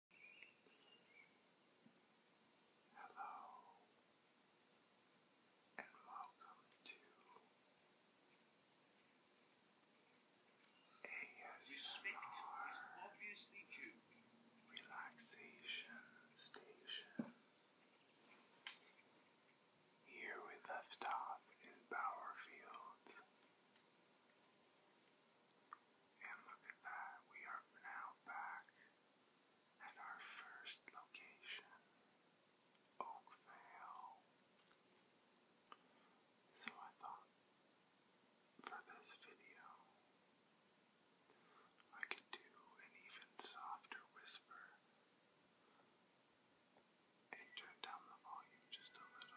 Hello, and welcome to ASMR Relaxation Station. Here we left off in Bowerfield. And look at that, we are now back at our first location, Oakvale. So I thought for this video, I could do an even softer whisper and turn down the volume just a little.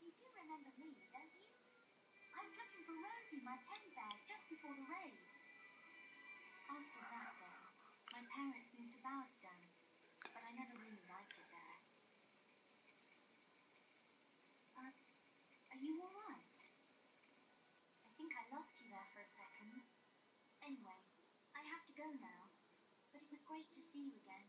You do remember me, don't you? I was looking for Rosie, my teddy bear, just before the raid. After that, though, my parents moved to Bowerston, but I never really liked it there. Uh, are you all right? I think I lost you there for a second. Anyway, I have to go now, but it was great to see you again.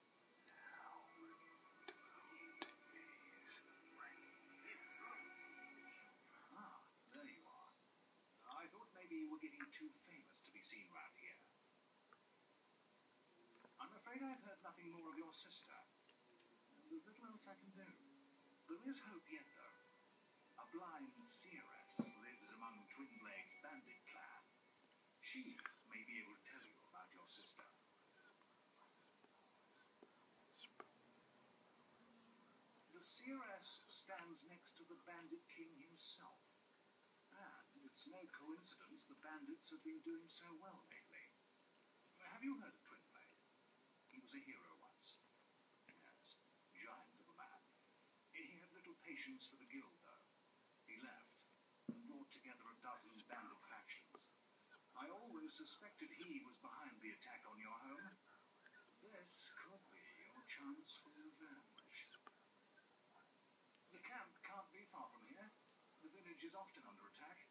there you are. I thought maybe you were getting too famous to be seen round here. I'm afraid I've heard nothing more of your sister. There's little else I can do. There is hope yet, though. A blind seeress lives among twin Twinblade's bandit clan. She may be able to tell you about your sister. The Luciras stands next to the Bandit King himself. And it's no coincidence the bandits have been doing so well lately. Have you heard of Twinblade? He was a hero once. Yes, giant of a man. He had little patience for the guild, though. He left and brought together a dozen bandit factions. I always suspected he was behind the attack on your home. This could be your chance for revenge. The camp can't be far from here. The village is often under attack.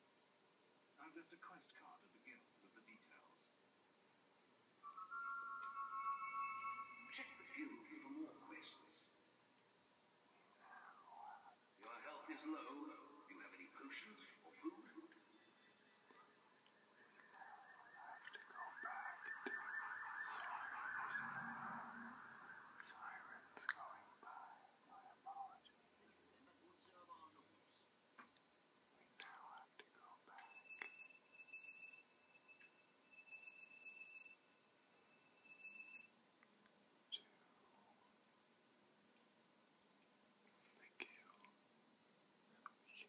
I've left a quest card at the guild with the details. Check the guild for more quests. Your health is low. Do you have any potions or food? I have to go back to Cyrus. Sirens going by. My apologies. We now have to go back to the guild so we can pick up another quest. That maze has left for us.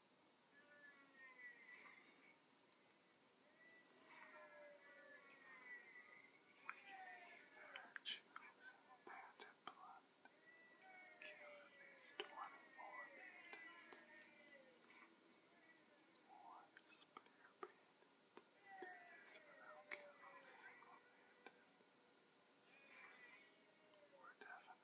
Banded blood killed at least 24 mutants. War spear banded. Israel killed a single bandit. We're definitely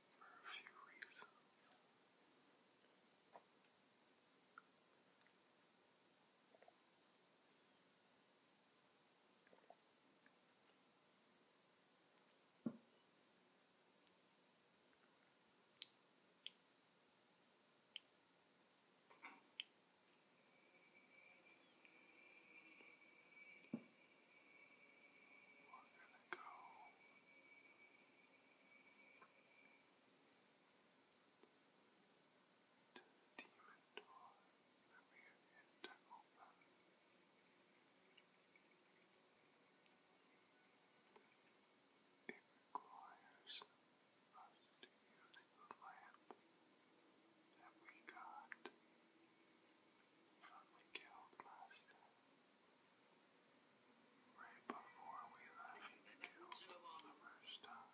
for a few reasons. We're gonna go to the demon door that we had open. It requires us to use the lamp that we got from the Guildmaster. Right before we left the guild the first time.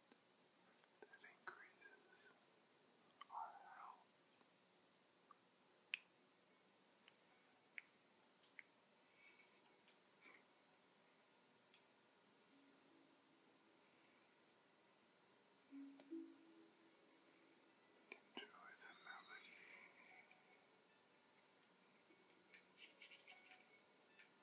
that increases our health. Enjoy the melody.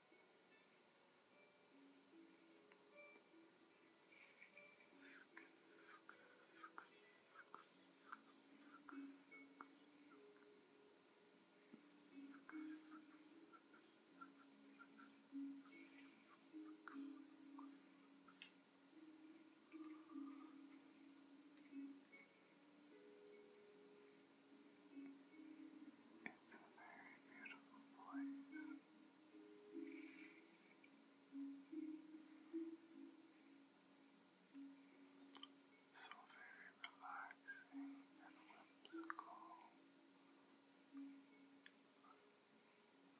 It's a very beautiful place. So very relaxing and whimsical.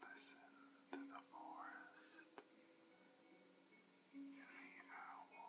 Listen to the forest and the owls.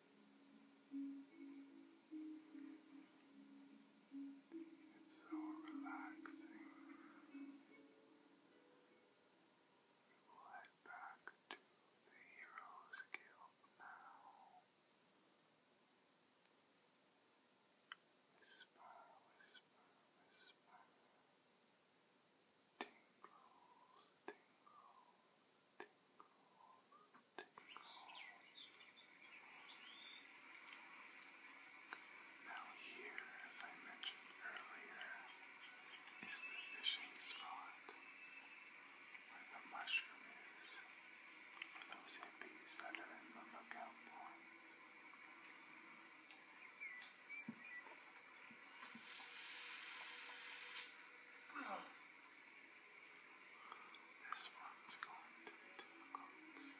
It's so relaxing. We will head back to the Heroes Guild now. Whisper, whisper, whisper. Tingles, tingles, tingles. Now here, as I mentioned earlier, is the fishing spot where the mushroom is for those hippies that are in the lookout point. This one's going to be difficult. This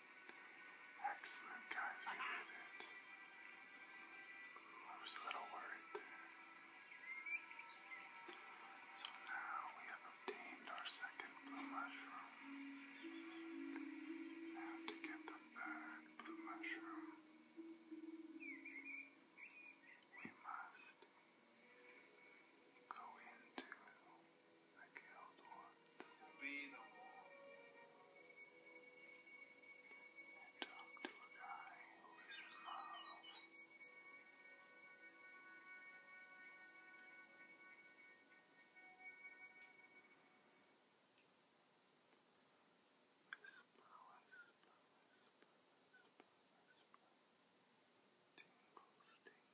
Excellent, guys, we did it. I was a little worried there. So now we have obtained our second blue mushroom. Now to get the third blue mushroom, we must go into I killed one to be the war. And talked to a guy who is in miles. Tingles, tingles,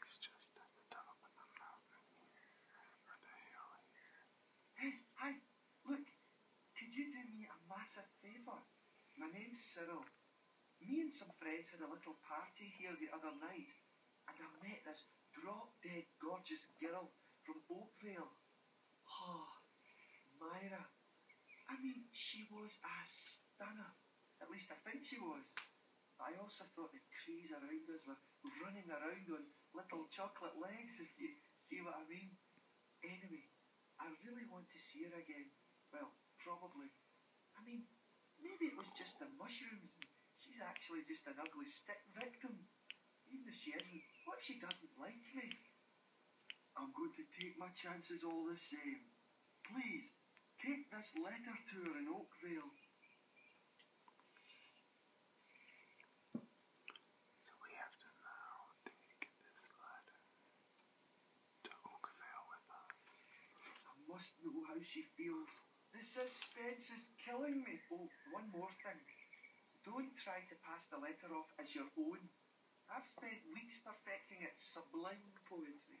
it's just at the top of the mountain here, or the hill here. Hey, hi, look, could you do me a massive favour? My name's Cyril. Me and some friends had a little party here the other night and I met this drop dead gorgeous girl from Oakvale. Oh, Myra. I mean, she was a stunner. At least I think she was. I also thought the trees around us were running around on little chocolate legs, if you see what I mean. Anyway, I really want to see her again. Well, probably. I mean, maybe it was just the mushrooms. She's actually just an ugly stick victim. Even if she isn't, what if she doesn't like me? I'm going to take my chances all the same. Please, take this letter to her in Oakvale. So we have to now take this letter to Oakvale with us. I must know how she feels. The suspense is killing me. Oh, one more thing. Don't try to pass the letter off as your own. I've spent weeks perfecting its sublime poetry.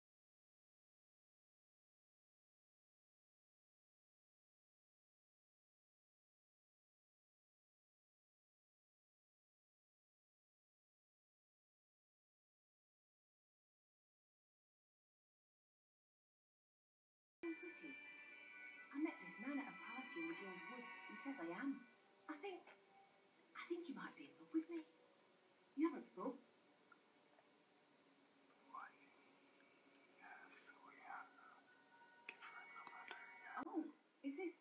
I met this man at a party in the Woods. He says I am. I think... I think you might be in love with me. You haven't spoke. Oh, is this,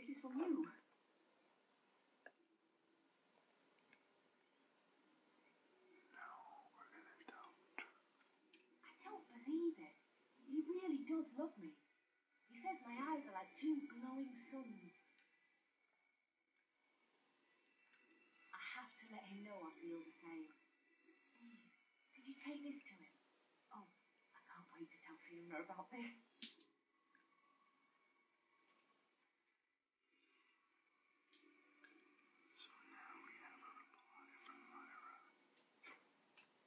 is this from you? No, we're gonna don't. I don't believe it. He really does love me. He says my eyes are like two glowing suns. I have to let him know I feel the same. Please, could you take this to him? Oh, I can't wait to tell Fiona about this. So now we have a reply from Myra. Nice to see you.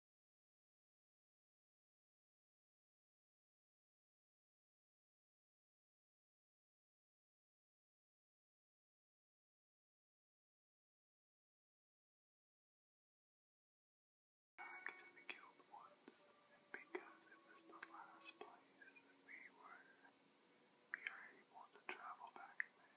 to be killed once, and because it was the last place that we were, we are able to travel back there.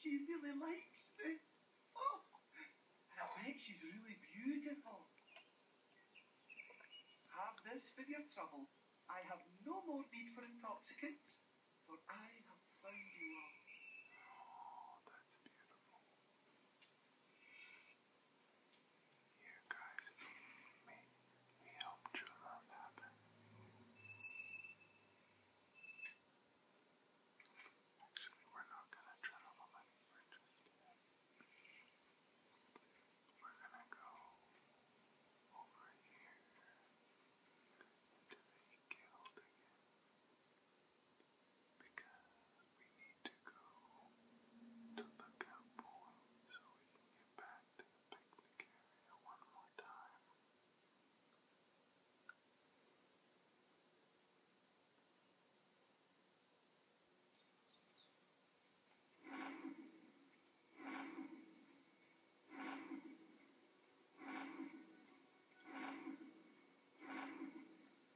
She really likes me. Oh, and I bet she's really beautiful. Have this for your trouble. I have no more need for intoxicants, for I have found you all. Oh, that's beautiful. You guys, we, we help true love happen. Actually, we're not gonna tread on the money, we're just gonna, we're gonna go over here into the guild again because we need to go to Lookout Point so we can get back to the picnic area one more time.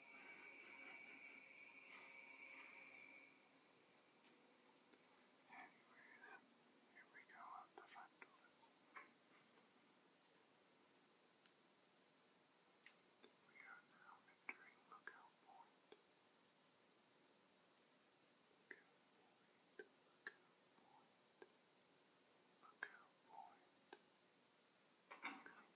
Anyway, then here we go out the front door. We are now entering Lookout Point. Lookout Point, Lookout Point, Lookout Point. Lookout now, this is where you get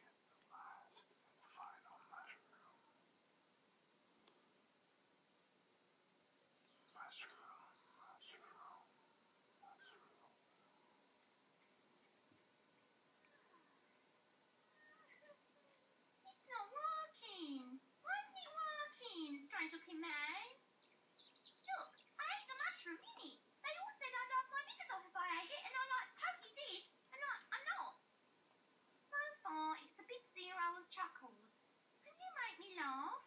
the last and final mushroom mushroom, mushroom, mushroom. He's not walking. Why isn't he walking? Strange looking man. Look, I ate the mushroom, didn't They all said I knocked my knickers off if I ate it, and I'm like, totally did, and I, I'm not. Bonfire is the big zero of chuckles. Can you make me laugh?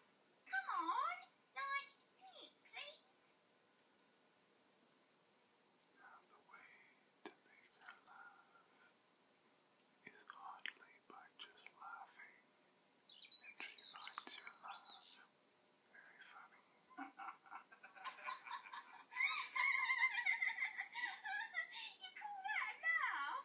Come on, like me, the way to make her laugh is hardly by just laughing, she finds your laugh very funny. you call that laugh?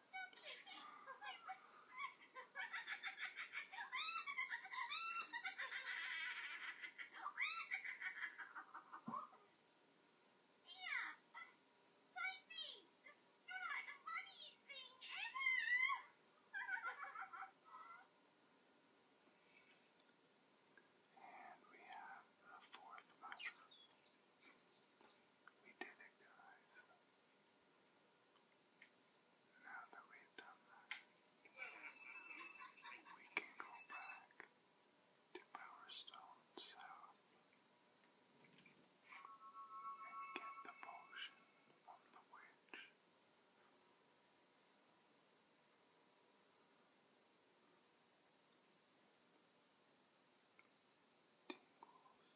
And we have the fourth mushroom. We did it, guys. Now that we've done that, we can go back to Powerstone South and get the potion from the witch. Tingles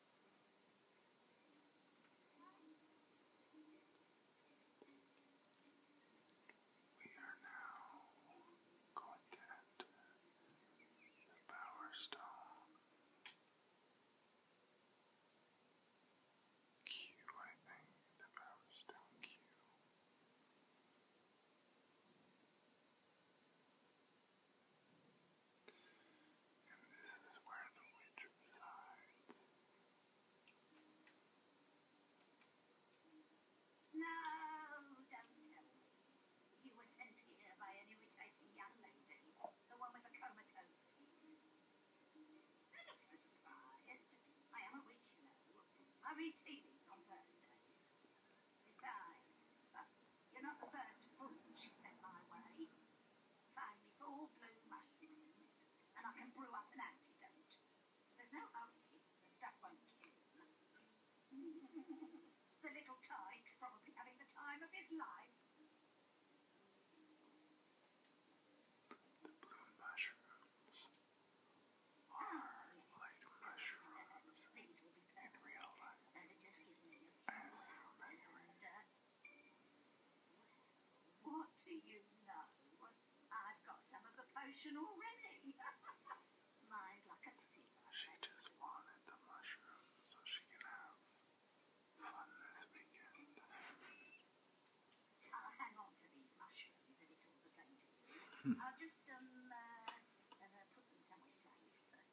We are now going to enter the Power Stone. Q, I think, the Power Stone Q. Now and this is where the witch resides. No, don't tell me. You were sent here by an irritating young lady, the one with the comatose feet. Don't look so surprised. I am a witch, you know. I read TVs on Thursdays. Besides, you're not the first fool she sent my way. Finally, for blue mushrooms, and I can brew up an antidote. There's no hurry, the stuff won't kill him. the little tyke's probably having the time of his life. Ah, These will be perfect. They're just giving me a few hours and uh, what do you know? I've got some of the potion already. Mind like She just wanted the mushroom so she can have fun this weekend. I'll hang on to these mushrooms if it's all hmm. I'll just um uh, uh, put them somewhere safe.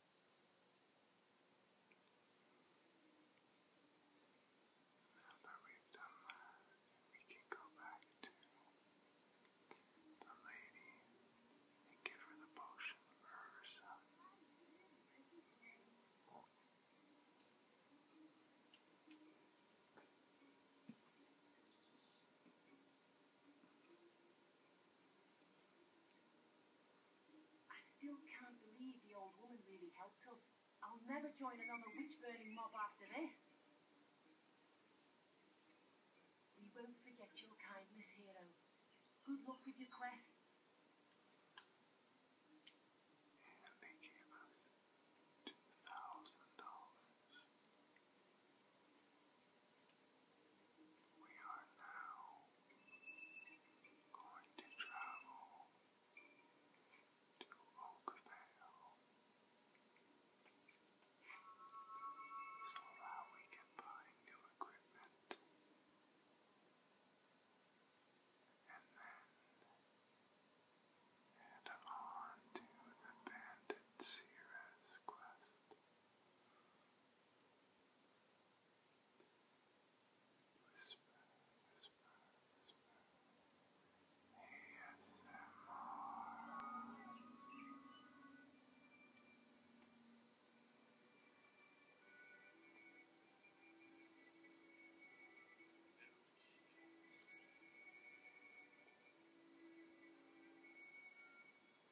Now that we've done that, we can go back to the lady and give her the potion for her I still can't believe the old woman really helped us. I'll never join another witch-burning mob after this. We won't forget your kindness, hero. Good luck with your quest. We are now going to travel to Oakvale so that we can buy new equipment and then head on to the Bandit Seeress quest. Whisper, whisper, whisper. ASMR. Shh.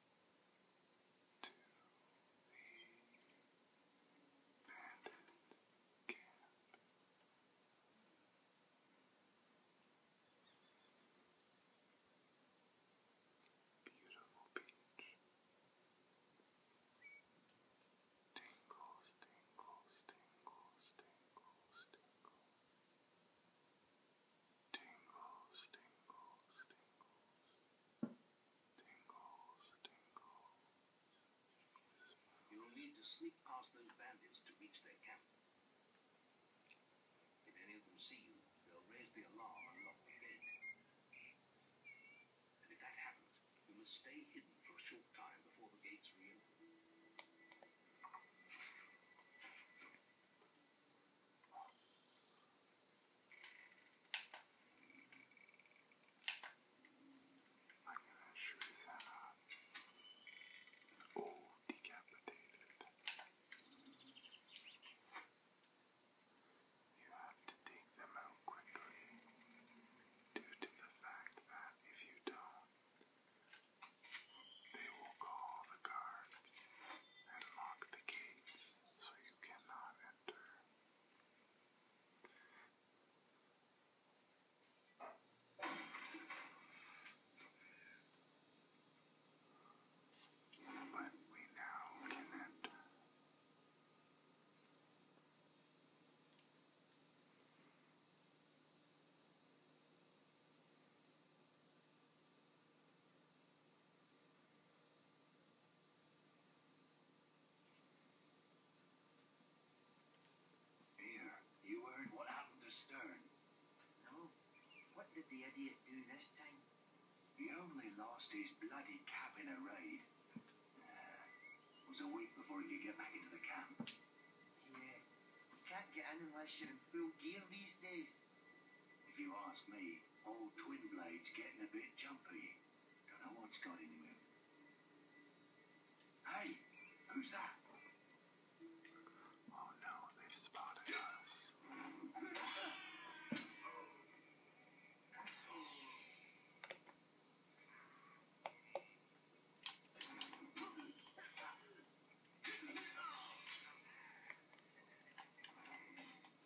bandit camp. Beautiful beach. Tingles, tingles, tingles, tingles, tingles. Tingles, tingles, tingles. You'll need to sneak past those bandits to reach their camp. If any of them see you, they'll raise the alarm and lock the gate. And if that happens, you must stay hidden for a short time before the gates reopen. I'm gonna shoot that up. Oh, decapitated. You have to take them out quickly due to the fact that if you don't, they will call the guards and lock the gates so you cannot enter. But we now can enter. Now here, you heard what happened to Stern. No. What did the idiot do this time? He only lost his bloody cap in a raid. It uh, was a week before he could get back into the camp. Yeah, you can't get in unless you're full gear these days. If you ask me, old twin blade's getting a bit jumpy. Don't know what's got into him. Hey, who's that? Oh no, they've spotted us.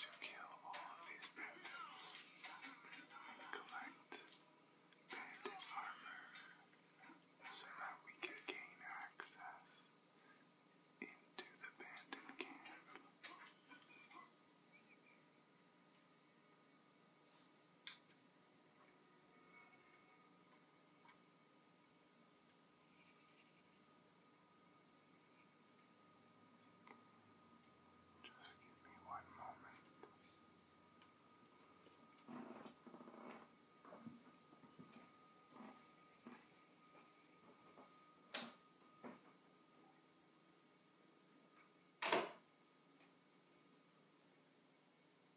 To kill all of these bandits, collect bandit armor so that we could gain access into the bandit camp. Just give me one moment.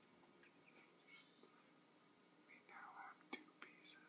We now have two pieces.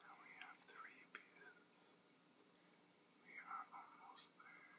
Now we have three pieces. We are almost there.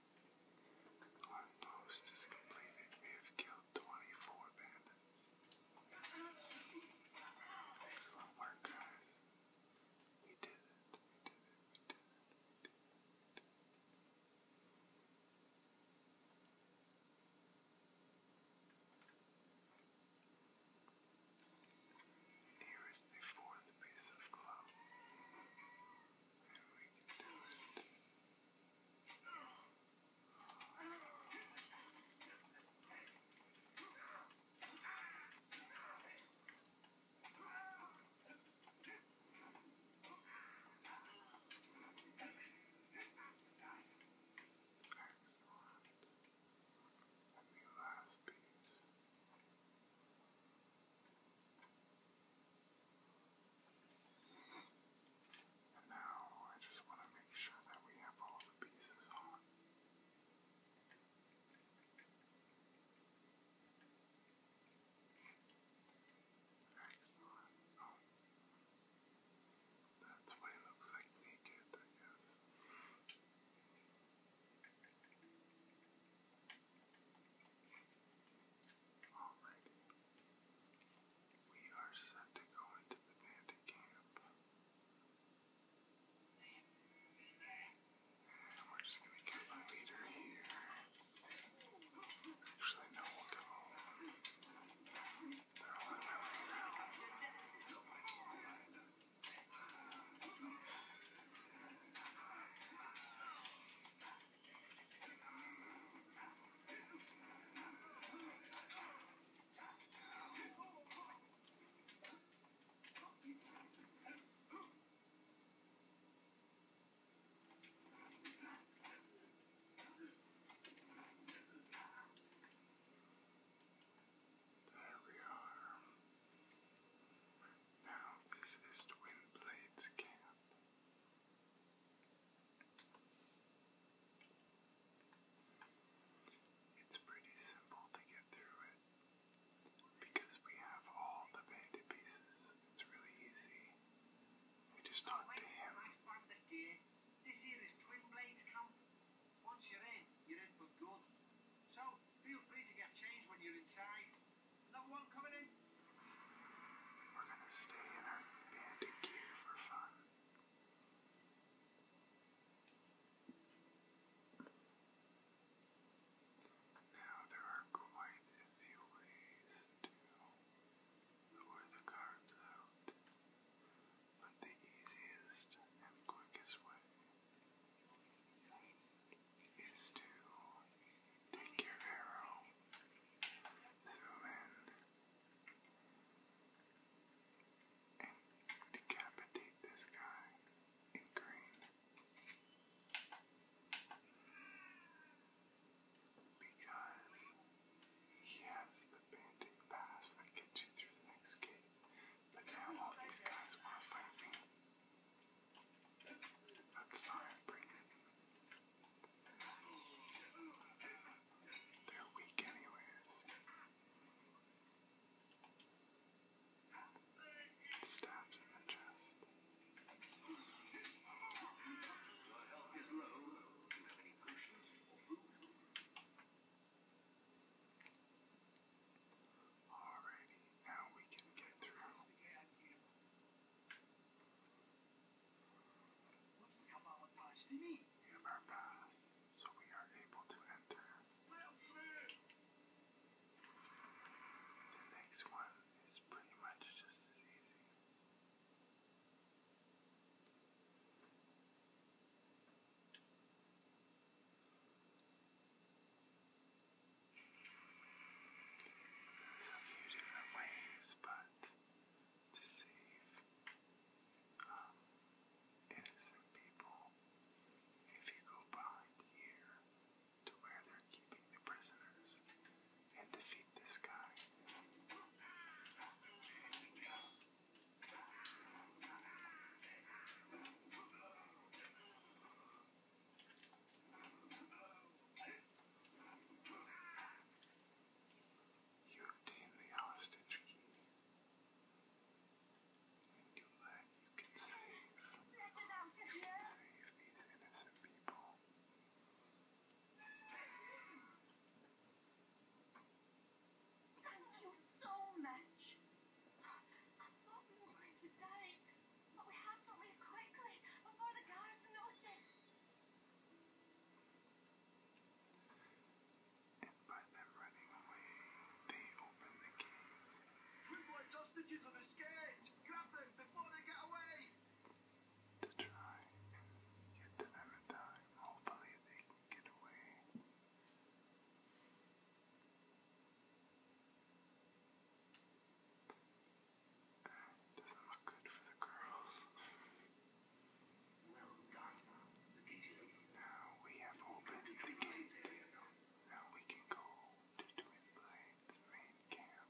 One post is completed. We have killed 24 bandits. Excellent work, guys. We did it. We did it. We did it. We did it. We did it. Here is the fourth piece of cloth, and we can do it. Excellent. And the last piece. And now I just want to make sure that we have all the pieces on. Excellent. Oh. That's what it looks like naked, I guess. Alrighty. We are set to go into the bandit camp. And we're just gonna get my leader here. Actually, no, we'll go. They're all in my way now. There we are. Now, this is Twin Blades Camp. It's pretty simple to get through it because we have all the bandit pieces. It's really easy. We just talk to him. This here is Twin Blades Camp. Once you're in, you're in for good. So feel free to get changed when you're inside. Another one coming in. We're gonna stay in our bandit gear for fun. Now there are quite a few ways to lure the cards out, but the easiest and quickest way is to Take your arrow. Zoom in. And decapitate this guy in green. Because he has the bandit pass that gets you through the next gate. But now all these guys want to fight me. That's fine, bring they're weak, anyways. Stabs in the chest. Your health is low. Do you have any potions or food? Alrighty, now we can get through in our paths, so we are able to enter. The next one is pretty much just as easy. There's a few different ways, but to save um, innocent people. If you go behind here to where they're keeping the prisoners and defeat this guy. You obtain the hostage key. And you let you can save these innocent people. Thank you so much. I thought we were going to die, but we have to leave quickly before the guards notice. And by them running away, they open the gates. We want hostages have escaped. Grab them before they get away! To try and get time. Hopefully they get away doesn't look good for the girls. now we have opened the gate. Now we can go to Twin Blades main camp.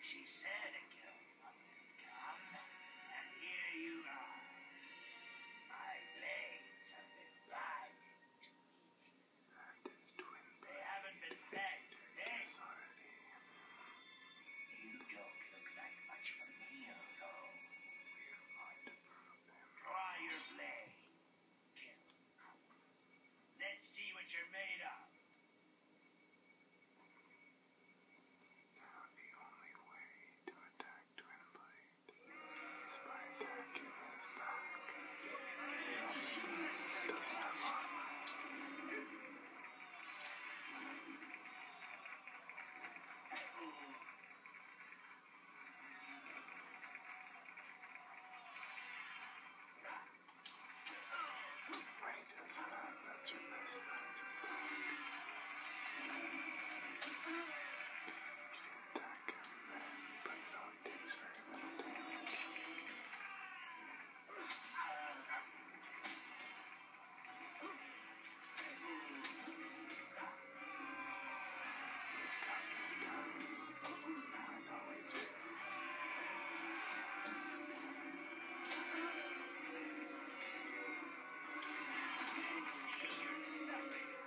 She said a girl would come, and here you are. My blades have been bribed they haven't been fed this You don't look like much of a meal, though. Try your blade. Let's see what you're made of. Now the only way to attack Twin Spider Cuban's back. That's the only thing that doesn't have armor. Wages, uh, that's your best time to talk attack him then, but it only takes very little damage. We've got this, guys. Now I know we do. It's nothing.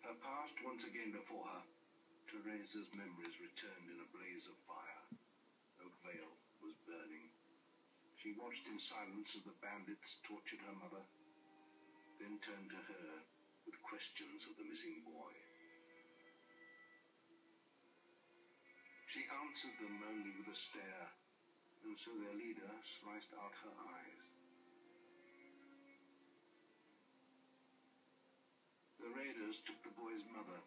Her past once again before her, Teresa's memories returned in a blaze of fire. veil was burning. She watched in silence as the bandits tortured her mother, then turned to her with questions of the missing boy. She answered them only with a stare, and so their leader sliced out her eyes. The raiders took the boy's mother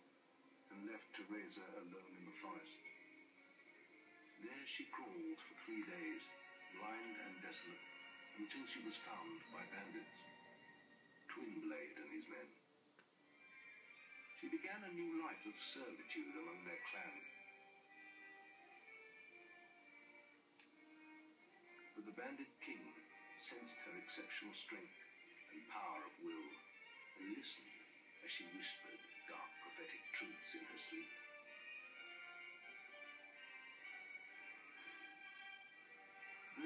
and left Teresa alone in the forest. There she crawled for three days, blind and desolate, until she was found by bandits, Twinblade and his men. She began a new life of servitude among their clan. But the banded king sensed her exceptional strength and power of will and listened as she whispered dark prophetic truths in her sleep.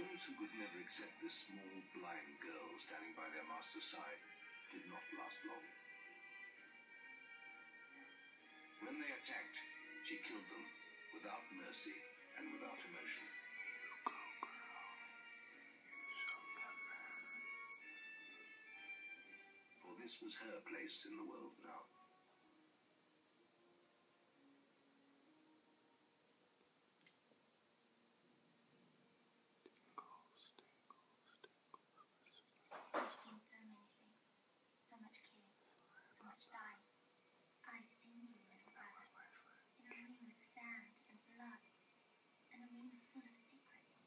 Those who could never accept this small, blind girl standing by their master's side did not last long. When they attacked, she killed them without mercy and without emotion. You go, girl. For this was her place in the world now so much care, so much dye. I seen you, little brother, in a ring of sand and blood, and a ring full of secrets.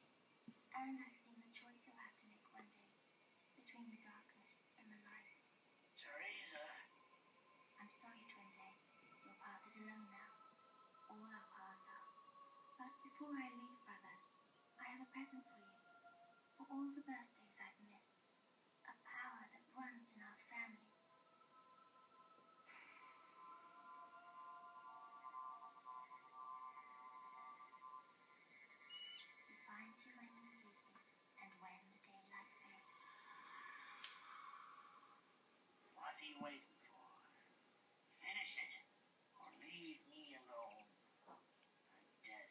And I've seen the choice you'll have to make one day between the darkness and the light. Teresa! I'm sorry, Twinley. Your path is alone now. All our paths are. But before I leave, brother, I have a present for you, for all the birthdays I've missed a power that runs in our family. He finds you when you sleeping and when the daylight fades. What are waiting for? Finish it, or leave me alone. dead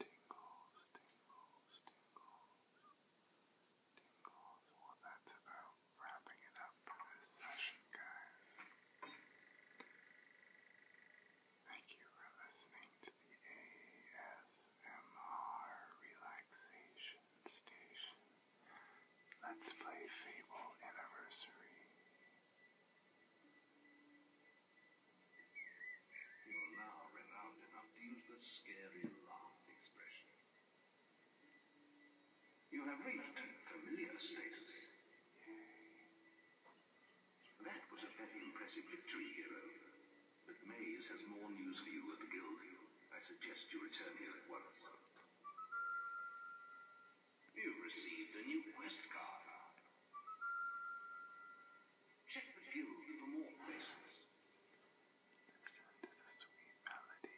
tingles, tingles, tingles. Well, that's about wrapping it up for this session, guys. Thank you for listening to the ASMR Relaxation Station. Let's play Fable Anniversary. You're now renowned enough to use the scary laugh expression. You have reached familiar status. That was a very impressive victory, hero. But Mays has more news for you at the Guild. I suggest you return here at once. You've received a new quest card. Check the guild for more places. Listen to the sweet melody.